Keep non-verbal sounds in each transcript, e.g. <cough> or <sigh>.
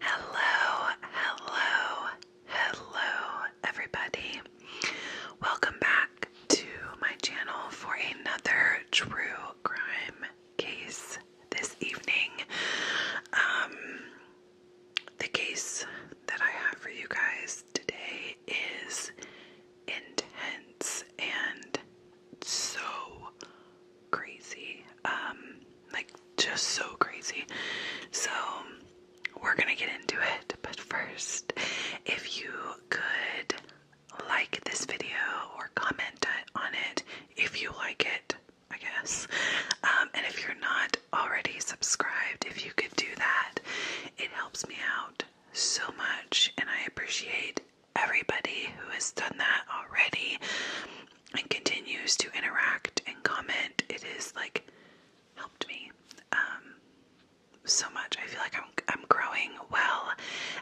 Hello, hello, hello, everybody. Welcome back to my channel for another true crime case this evening. Um, the case that I have for you guys today is intense and so crazy. Um, like just so crazy. So we're gonna get into it, but first, if you could like this video or comment on it if you like it, I guess. Um, and if you're not already subscribed, if you could do that, it helps me out so much, and I appreciate everybody who has done that already and continues to interact and comment. It is like helped me um, so much. I feel like I'm I'm growing well,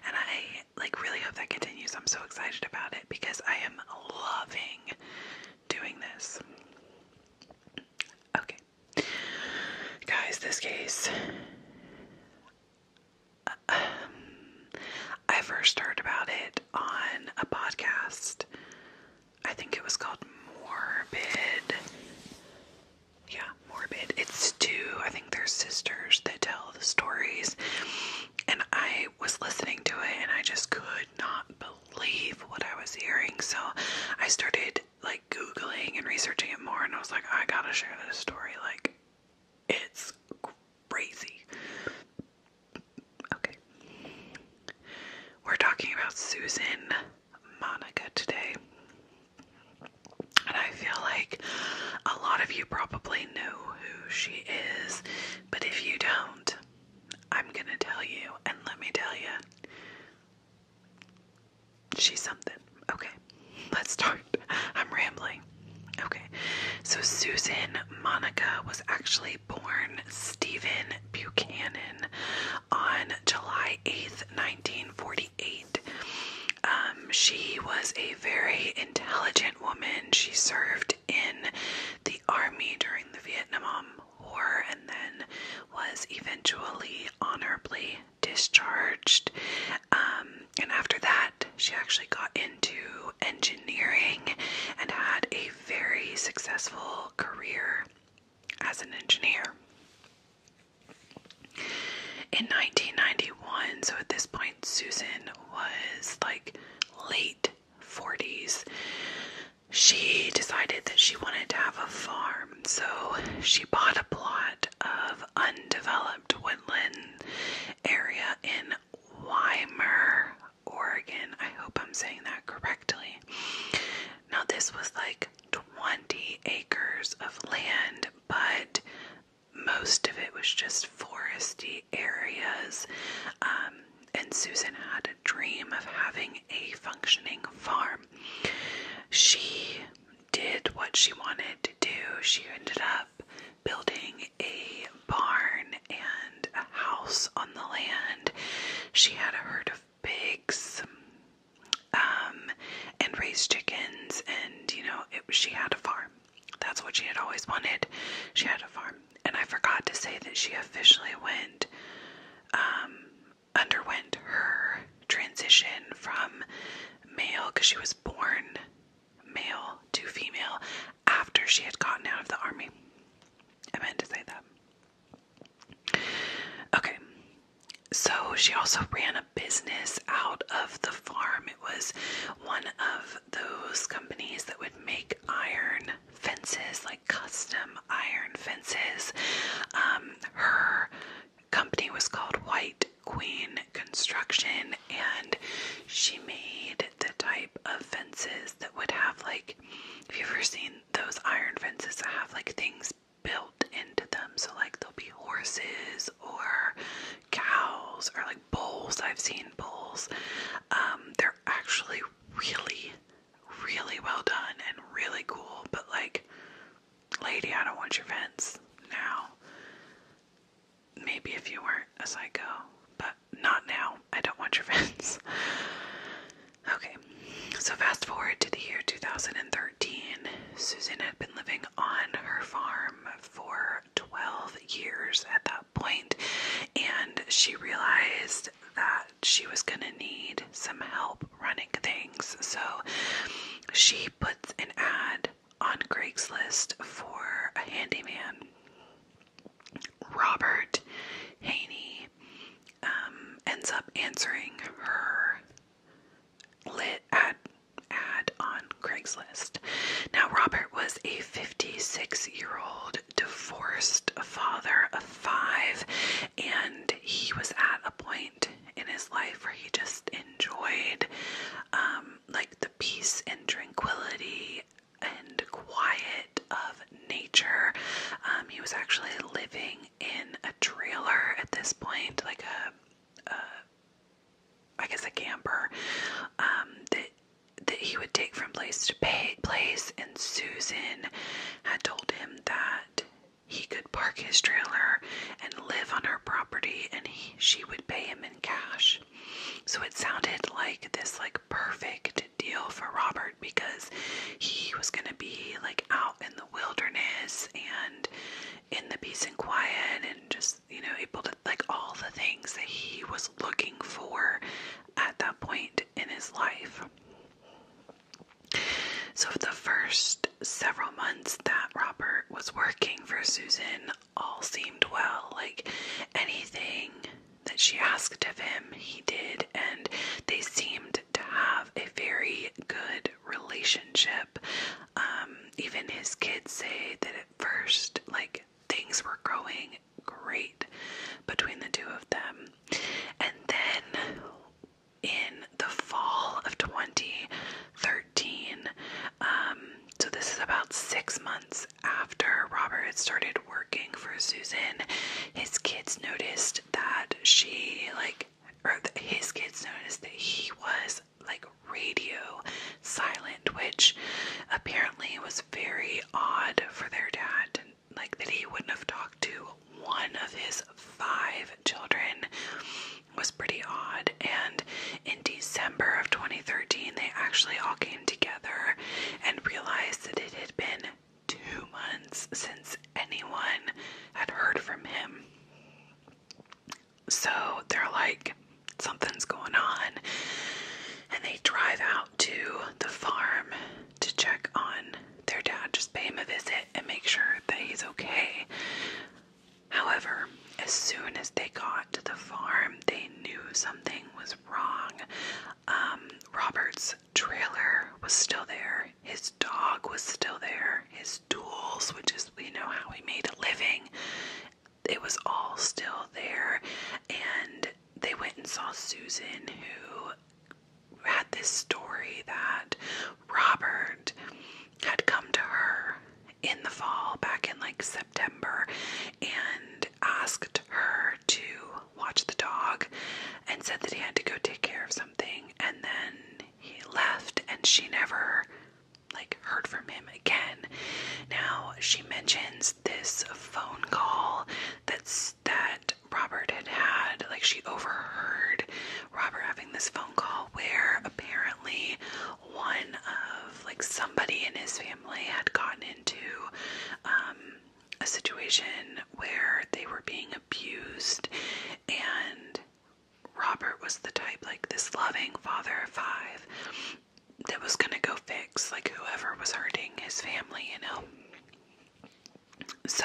and I like really hope that continues. I'm so excited about it because I am loving doing this. Okay, guys, this case. I first heard about it on a podcast. I think it was called Morbid. Yeah, Morbid. It's two, I think they're sisters that tell the stories. And I was listening to it and I just could not believe what I was hearing. So I started like Googling and researching it more and I was like, I gotta share this story. Like, it's crazy. Okay. We're talking about Susan Monica today. And I feel like a lot of you probably know who she is, but if you don't, I'm gonna tell you, and let me tell you, she's something. Okay, let's start. <laughs> I'm rambling. Okay, so Susan Monica was actually born Stephen Buchanan on July 8th, 1948. Um, she was a very intelligent woman. She served in the army during the Vietnam War and then was eventually honorably discharged. Um, and after that, she actually got into engineering and had a very successful career as an engineer. In 1991, so at this point, Susan was like late 40s. She decided that she wanted to have a farm, so she bought a plot of undeveloped woodland area in Weimer, Oregon. I hope I'm saying that correctly. Now, this was like 20 acres of land, but most of it was just foresty areas. Um, and Susan had a dream of having a functioning farm. She did what she wanted to do. She ended up building a barn and a house on the land. She had a herd of pigs um, and raised chickens, and you know, she had a farm. That's what she had always wanted. She had a farm. And I forgot to say that she officially went, um, underwent her transition from male because she was born male to female after she had gotten out of the army. I meant to say that. Okay, so she also ran a business out of the farm. It was one of those companies that would make iron fences, like custom iron fences. Um, her company was called White queen construction and she made the type of fences that would have like if you've ever seen those iron fences that have like things built into them so like there'll be horses or cows or like bulls i've seen bulls um, they're actually really really well done and really cool but like lady i don't want your fence now maybe if you weren't a psycho, but not now. I don't want your friends. okay, so fast forward to the year 2013. Susan had been living on her farm for 12 years at that point, and she realized that she was going to need some help running things. So she puts an ad on Craigslist for a handyman. Robert Haney um, ends up answering her lit ad, ad on Craigslist. Now, Robert was a 56 year old divorced father of five, and he was at a point in his life where he just enjoyed um, like the peace and tranquility and quiet of nature. Um, he was actually living in a trailer at this point, like a, a I guess a camper um, that that he would take from place to place. And Susan had told him that he could park his trailer and live on her property, and she would pay him in cash. So it sounded like this like perfect deal for Robert because he was going to be like out in the wilderness and in the peace and quiet and just, you know, able to like all the things that he was looking for at that point in his life. So, the first several months that Robert was working for Susan, all seemed well. Like anything that she asked of him, he did, and they seemed to have a very good relationship. Um, even his kids say that at first, like things were going great between the two of them. And then in the fall of 2013, um, so, this is about six months after Robert had started working for Susan. His kids noticed that she, like, or his kids noticed that he was like radio silent, which apparently was very odd for their dad, like that he wouldn't have talked to one of his five children was pretty odd. And in December of 2013, they actually all came together and realized that it had been two months since anyone had heard from him. So they're like, something's going on. And they drive out to the farm to check on their dad, just pay him a visit and make sure that he's okay. However, as soon as they got to the farm, they knew something was wrong. Um, Robert's trailer was still there, his dog was still there, his tools, which is, you know, how he made a living, it was all still there. And they went and saw Susan, who had this story that Robert had come to her in the fall, back in like September, and asked her to watch the dog and said that he had to go take care of something. And then he left, and she never like heard from him again. Now she mentions this phone call that's that Robert had had like she overheard Robert having this phone call where apparently one of like somebody in his family had gotten into um, a situation where they were being abused and Robert was the type like this loving father of five that was going to go fix like whoever was hurting his family, you know. So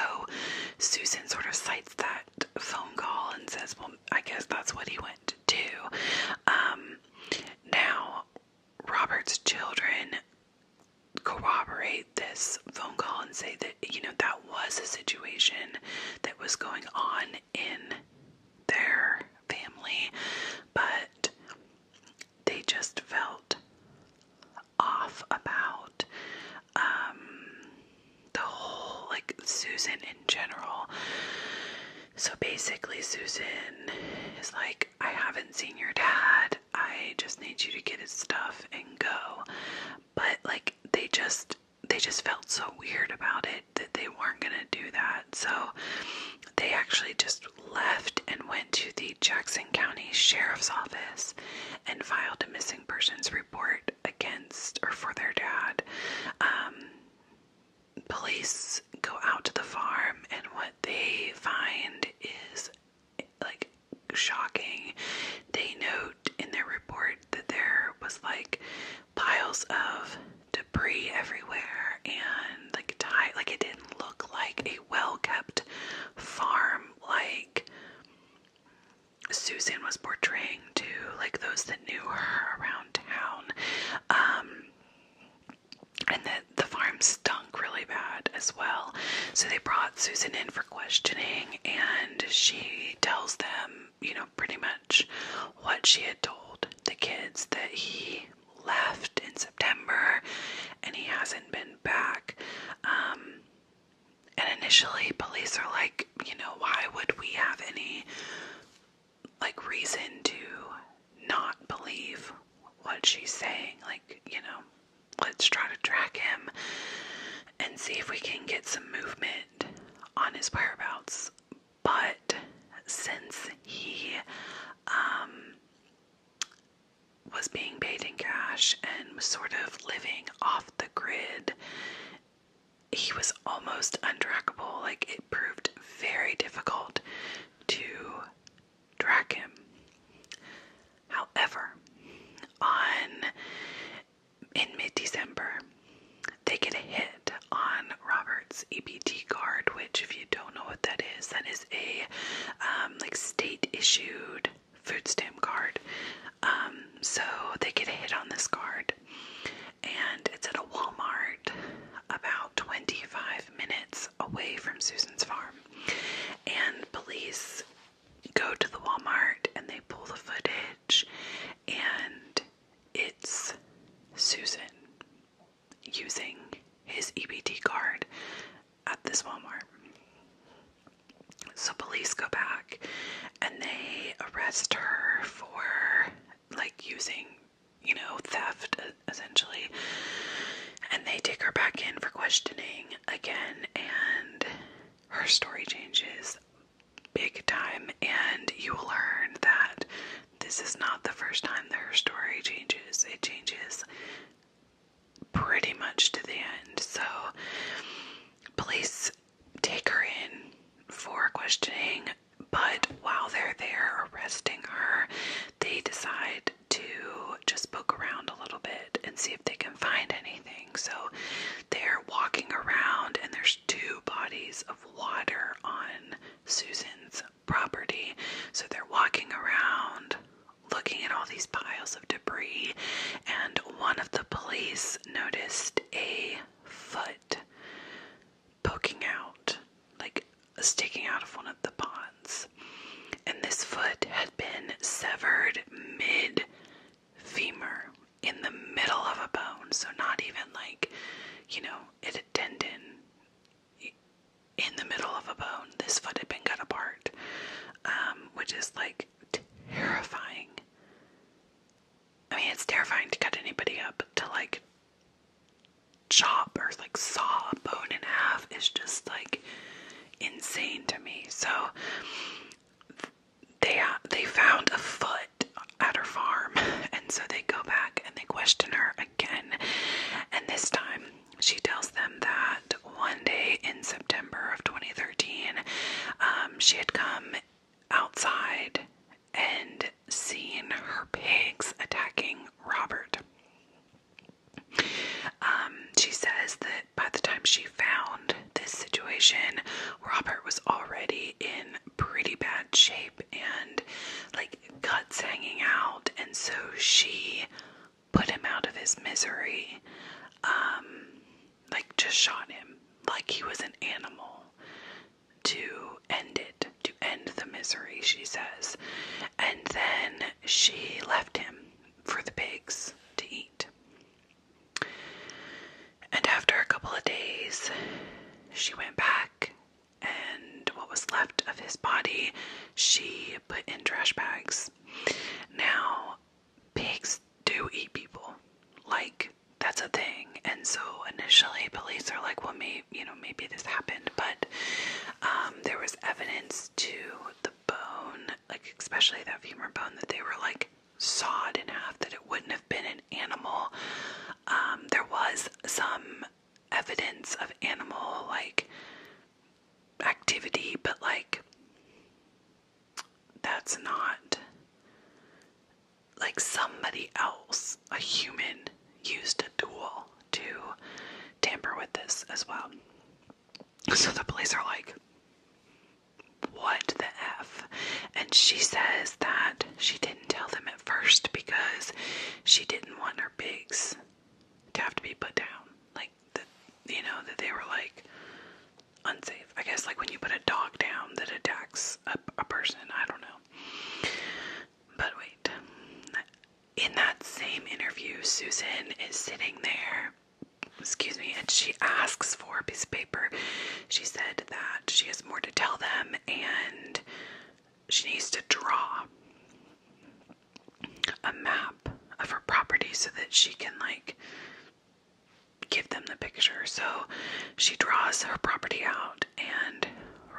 Susan sort of cites that phone call and says, Well, I guess that's what he went to do. Um, now, Robert's children corroborate this phone call and say that, you know, that was a situation that was going on in their family, but they just felt off about um, the whole like Susan in general. So basically, Susan is like, I haven't seen your dad. I just need you to get his stuff and go. But like, they just they just felt so weird about it that they weren't gonna do that. So they actually just left and went to the Jackson County Sheriff's Office and filed a missing persons report against or for their dad. Um, police go out to the farm, and what they find is like shocking. They note in their report that there was like piles of debris everywhere and like it didn't look like a well kept farm like Susan was portraying to like those that knew her around town. Um, and that the farm stunk really bad as well. So they brought Susan in for questioning, and she tells them, you know, pretty much what she had told the kids that he left in September and he hasn't been back. Um, and initially, police are like, you know, why would we have any like reason to not believe what she's saying? Like, you know, let's try to track him and see if we can get some movement on his whereabouts. But since he um, was being paid in cash and was sort of living off the grid he was almost untrackable. Like it proved very difficult to track him. However, on in mid-December, they get a hit on Robert's EBT card, which, if you don't know what that is, that is a um, like state-issued food stamp card. Um, so they get hit on this card, and it's at a Walmart about 25 minutes away from Susan's farm. And police go to the Walmart and they pull the footage, and it's Susan using his EBT card at this Walmart. So police go back and they arrest her for like using, you know, theft essentially. And they take her back in for questioning again and her story changes big time and you will learn that this is not the first time that her story changes. It changes pretty much to the end. So police take her in for questioning, but while they're there arresting her, they decide to just poke around a little bit and see if they can find anything. So they're walking around, and there's two bodies of water on Susan's property. So they're walking around looking at all these piles debris, and one of the police noticed a foot poking out, like sticking out of one of the ponds. And this foot had been severed mid femur in the middle of a bone, so not even like, you know, at a tendon in the middle of a bone. This foot had been cut apart, um, which is like terrifying. I mean, it's terrifying to cut anybody up, to like chop or like saw a bone in half is just like insane to me. So they uh, they found a foot at her farm, <laughs> and so they go back and they question her again. And this time, she tells them that one day in September of 2013, um, she had come outside and seen her pigs attacking Robert. Um, she says that by the time she found this situation, Robert was already in pretty bad shape and like guts hanging out, and so she put him out of his misery. Um, like just shot him like he was an animal to end it, to end the misery, she says. And then she left him for the pigs to eat. And after a couple of days, she went back, and what was left of his body she put in trash bags. Now, pigs do eat people. Like, that's a thing. And so initially, police are like, well, maybe, you know, maybe this happened, but um, there was evidence to the bone, like, especially that femur bone, that they were like sawed in half, that it wouldn't have been an animal. Um, there was some evidence of animal, like, activity, but like, that's not like somebody else, a human, used a tool to tamper with this as well. So the police are like, what the F? And she says that she didn't tell them at first because she didn't want her pigs to have to be put down. Like that you know that they were like unsafe. I guess like when you put a dog down that attacks a, a person, I don't know. But wait. In that same interview, Susan is sitting there, excuse me, and she asks for a piece of paper. She said that she has more to tell them and she needs to draw a map of her property so that she can like give them the picture. So she draws her property out, and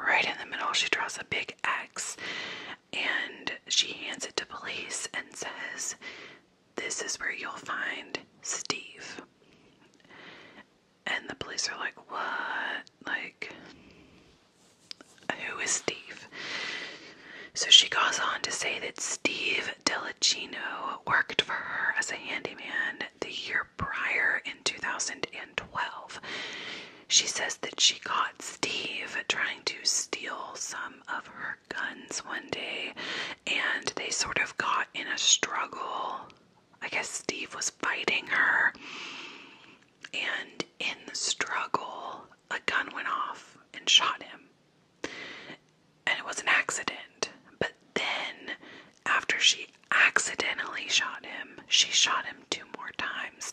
right in the middle, she draws a big X and she hands it to police and says, This is where you'll find Steve. And the police are like, What? Like, who is Steve? So she goes on to say that Steve Delacino worked for her as a handyman the year prior in 2012. She says that she caught Steve trying to steal some of her guns one day and they sort of got in a struggle. I guess Steve was fighting her, and in the struggle, a gun went off and shot him and it was an accident. But then, after she accidentally shot him, she shot him two more times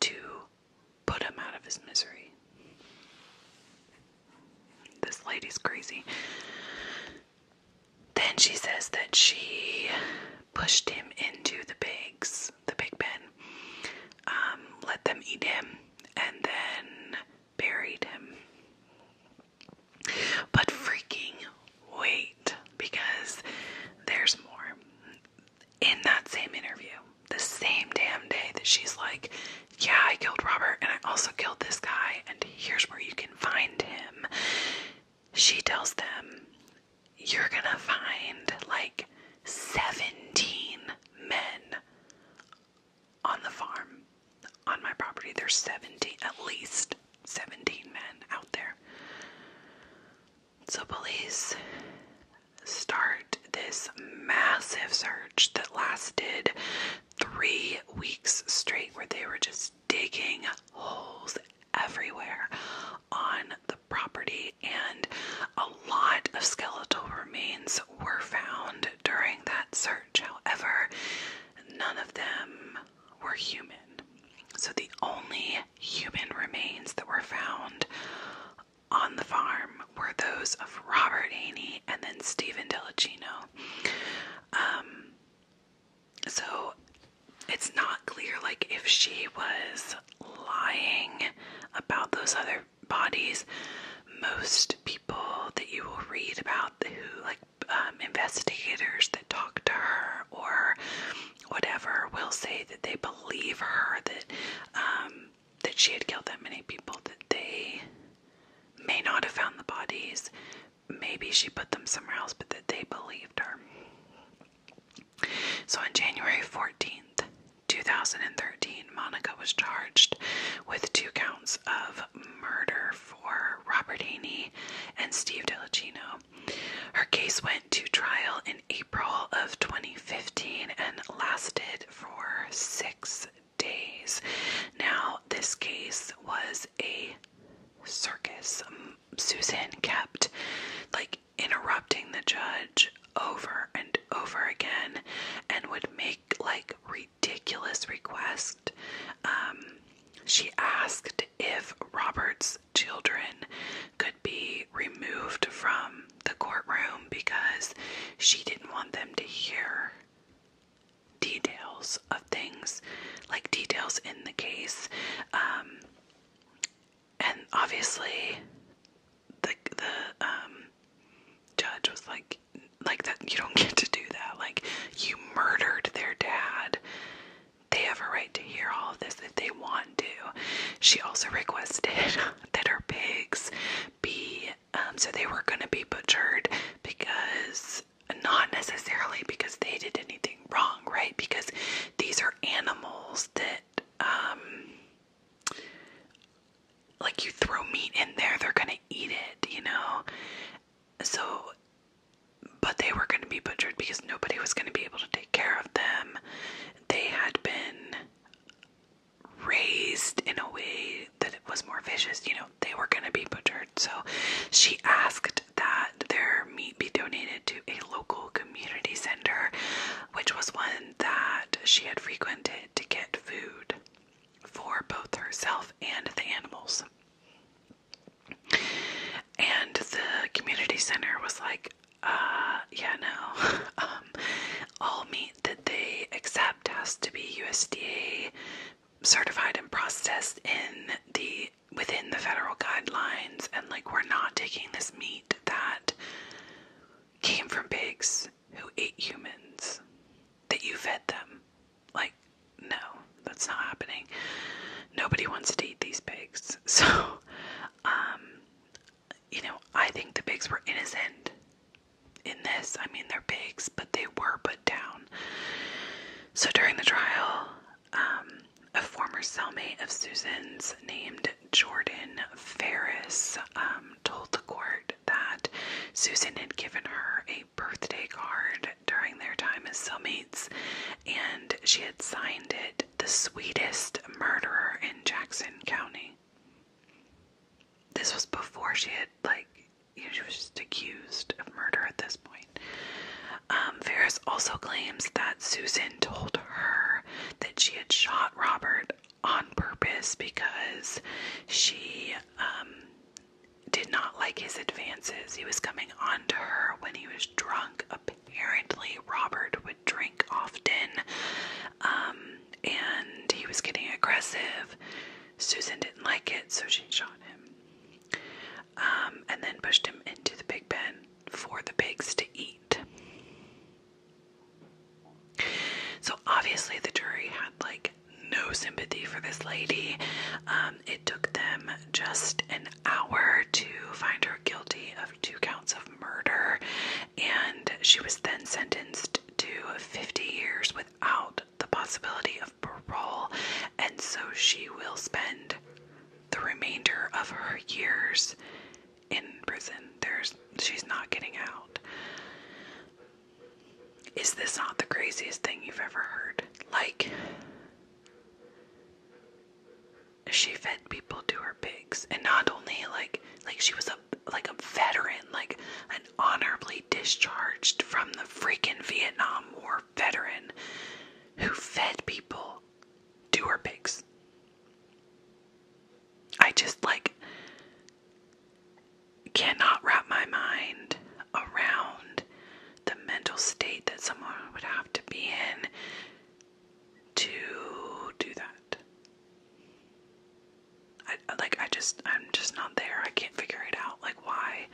to put him out of his misery. This lady's crazy. Then she says that she pushed him into the pigs, the pig pen, um, let them eat him, and then buried him. But freaking wait, because there's more. In that same interview, the same damn day that she's like, Yeah, I killed Robert and I also killed this guy, and here's where you can find him, she tells them, You're gonna find like 17 men on the farm, on my property. There's 17, at least 17 men out there. So police start this massive search that lasted three weeks straight, where they were just digging holes everywhere on the property and a lot of skeletal remains were found during that search. However, none of them were human. So the only human remains that were found on the farm were those of Robert Haney and then Stephen Delacino. Um, so it's not clear like if she was lying about those other bodies. Most people that you will read about who, like um, investigators that talk to her or whatever, will say that they believe her that um, that she had killed that many people. That they may not have found the bodies. Maybe she put them somewhere else, but that they believed her. So on January 14th, 2013, Monica was charged with two counts of murder for Robert Haney and Steve DeLucino. Her case went to trial in April of 2015 and lasted for six days. Now, this case was a circus. Susan kept like interrupting the judge over and over again and would make like ridiculous requests. Um, she asked if Robert's children could be removed from the courtroom because she didn't want them to hear details of things like details in the case. Um, and obviously the the um, judge was like like that you don't <laughs> get to do that like you murdered their dad they have a right to hear all of this if they want to she also requested <laughs> that her pigs be um, so they were going to be butchered because not necessarily because they did anything wrong right because these are animals that um like you throw meat in there, they're gonna eat it, you know? So, but they were gonna be butchered because nobody was gonna be able to take care of them. They had been raised in a way that it was more vicious, you know, they were gonna be butchered. So she asked that their meat be donated to a local community center which was one that she had frequented to get food for both herself and the animals. And the community center was like, uh, yeah, no. <laughs> Um, all meat that they accept has to be USDA certified and processed in the within the federal guidelines and like we're not taking this meat that came from pigs who ate humans that you fed them. Like, no, that's not happening. Nobody wants to eat these pigs. <laughs> So, um, you know, I think the pigs were innocent in this. I mean, they're pigs, but they were put down. So during the trial, um, a former cellmate of Susan's named Jordan Ferris um, told the court that Susan had given her a birthday card during their time as cellmates, and she had signed it the sweetest murderer in Jackson County. This was before she had, like, you know, she was just accused of murder at this point. Um, Ferris also claims that Susan told her that she had shot Robert on purpose because she um, did not like his advances. He was coming on to her when he was drunk. Apparently, Robert would drink often um, and he was getting aggressive. Susan didn't like it, so she shot him um, and then pushed him into the pig pen for the pigs to eat. So obviously, the jury had like no sympathy for this lady. Um, it took them just an hour to find her guilty of two counts of murder, and she was then sentenced to 50 years without the possibility of parole. And so she will spend the remainder of her years in prison. There's she's not getting out. Is this not the craziest thing you've ever heard? Like she fed people to her pigs and not only like like she was a like a veteran, like an honorably discharged from the freaking Vietnam War veteran who fed people to pigs. I just like cannot wrap my mind around the mental state that someone would have to be in to do that. I like I just I'm just not there. I can't figure it out like why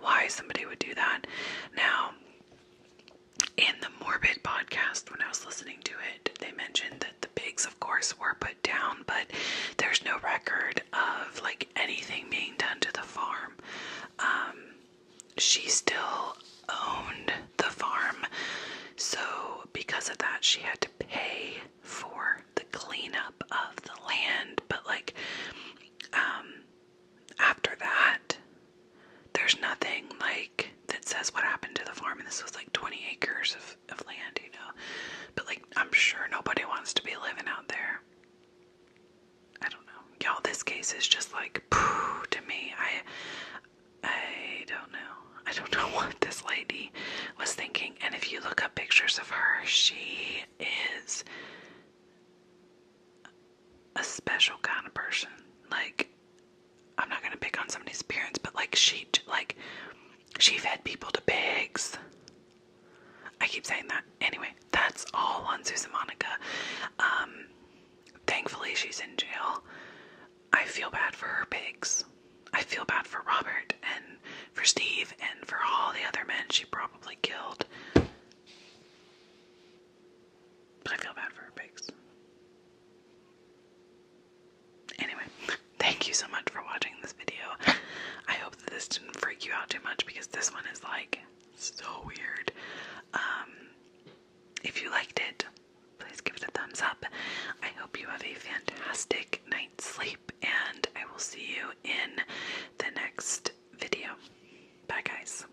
why somebody would do that. Now in the Morbid podcast, when I was listening to it, they mentioned that the pigs, of course, were put down, but there's no record of like anything being done to the farm. Um, she still owned the farm, so because of that, she had to pay for the cleanup of the land, but like, um, after that, there's nothing like that says what happened to the farm and this was like 20 acres of, land you know but like i'm sure nobody wants to be living out there i don't know y'all this case is just like poo to me i i don't know i don't <laughs> know what this lady was thinking and if you look up pictures of her she is a special kind of person. Like, I'm not gonna pick on somebody's parents, but like she, like, she fed people to pigs. I keep saying that. Anyway, that's all on Susan Monica. Um, thankfully she's in jail. I feel bad for her pigs. I feel bad for Robert and for Steve and for all the other men she probably killed. But I feel bad for pigs. Anyway, <laughs> thank you so much for watching this video. I hope that this didn't freak you out too much because this one is like so weird. Um, if you liked it, please give it a thumbs up. I hope you have a fantastic night's sleep, and I will see you in the next video. Bye, guys.